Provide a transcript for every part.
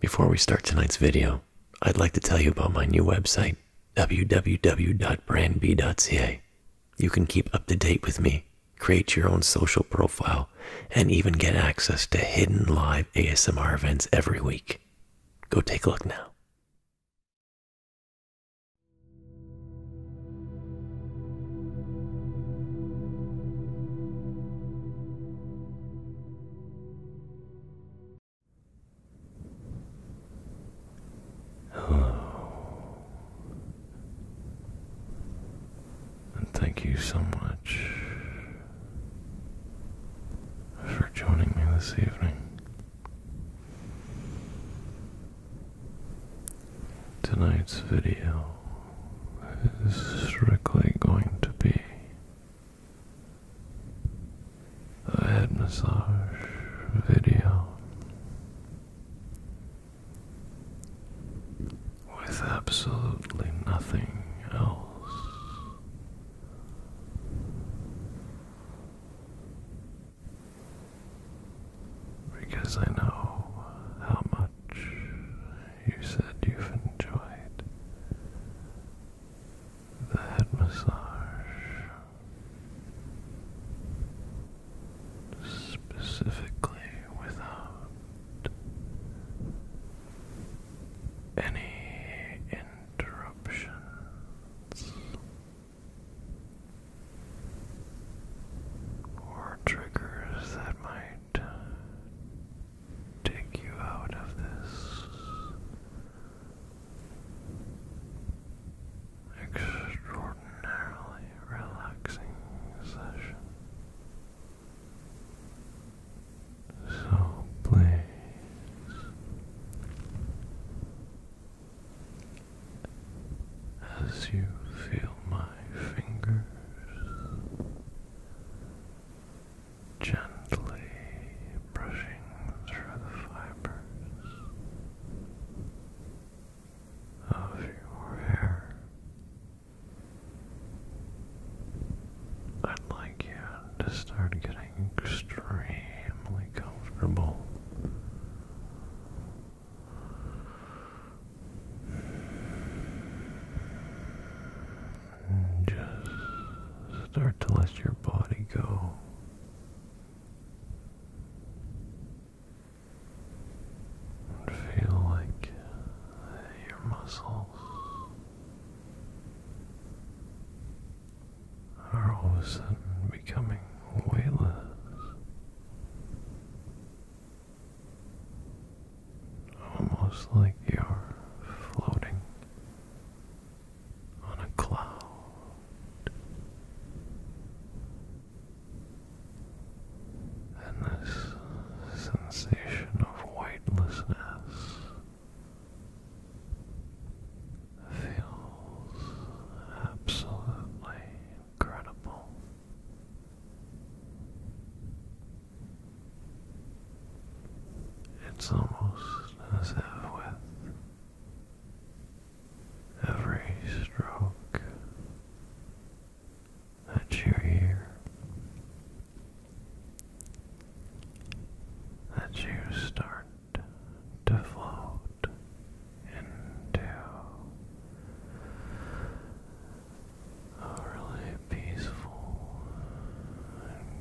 Before we start tonight's video, I'd like to tell you about my new website, www.brandb.ca. You can keep up to date with me, create your own social profile, and even get access to hidden live ASMR events every week. Go take a look now. Hello, and thank you so much for joining me this evening. Tonight's video is strictly going to be I had massage video with absolutely nothing else. Because I know how much you said you've enjoyed the head massage, specifically without any interruptions or triggers that might take you out of this extraordinarily relaxing session. So please as you feel my fingers gently brushing through the fibers of your hair. I'd like you to start getting extremely comfortable just start to let your body go. feel like your muscles are all of a sudden becoming weightless almost like you're floating on a cloud. And this sensation of weightlessness feels absolutely incredible. It's almost as if with every stroke that you hear, that you start to float into a really peaceful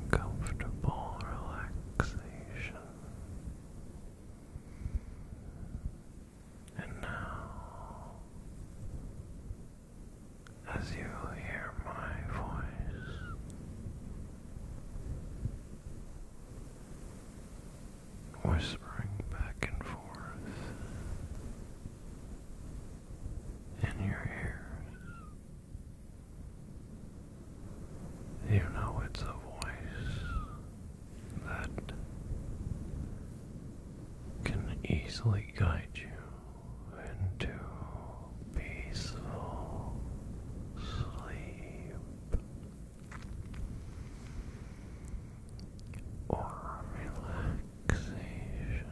comfortable relaxation. And now, as you hear my voice, whispering back and forth in your ears. You know it's a voice that can easily guide you into peaceful sleep. Or relax relaxation.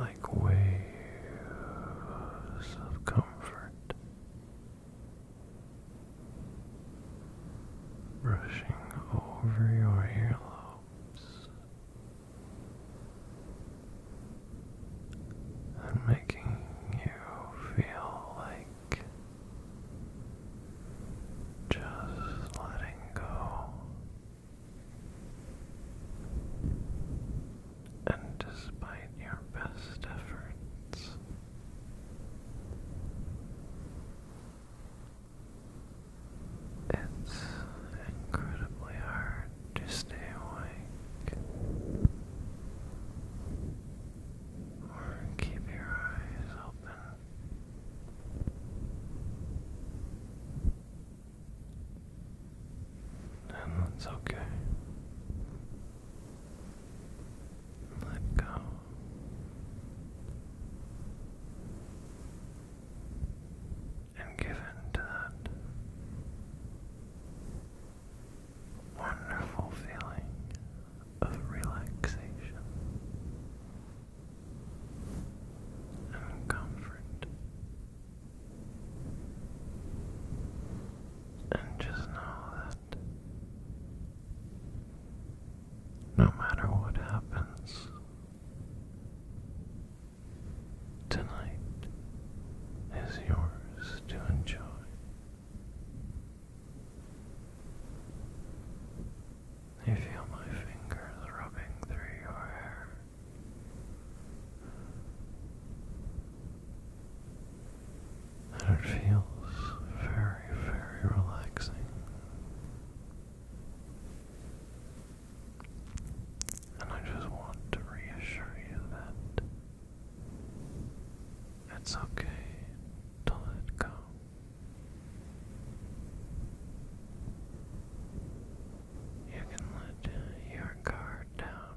Like waves of comfort brushing over your earlobes and making you feel like just letting go and despite your best efforts it's incredibly hard to stay awake or keep your eyes open. And that's okay. Let go. And give in to that wonderful feeling of relaxation and comfort. And just know no matter what happens tonight is yours to enjoy. You feel my fingers rubbing through your hair. And it feels very, very relaxing. And I just want to reassure you that it's okay to let go. You can let your guard down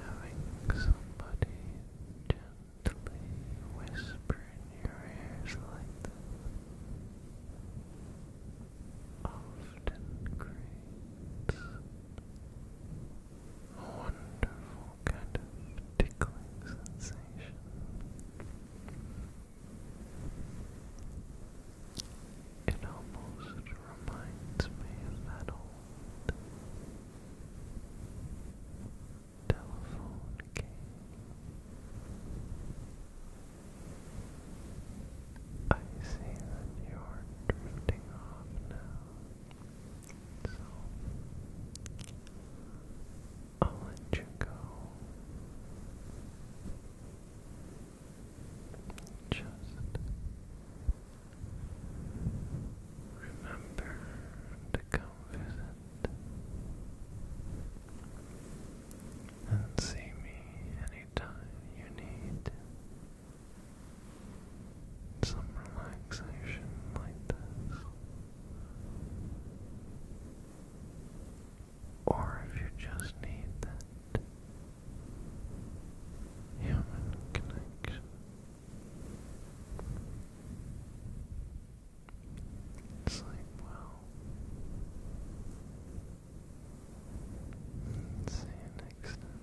Having somebody gently whisper in your ears like that often creates a wonderful kind of tickling sensation. It almost reminds me of that old telephone game. I see that you're drifting off now, so I'll let you go. Just remember to come visit and see me anytime you need some relaxation like this. Or if you just need human connection. It's well, see you next time.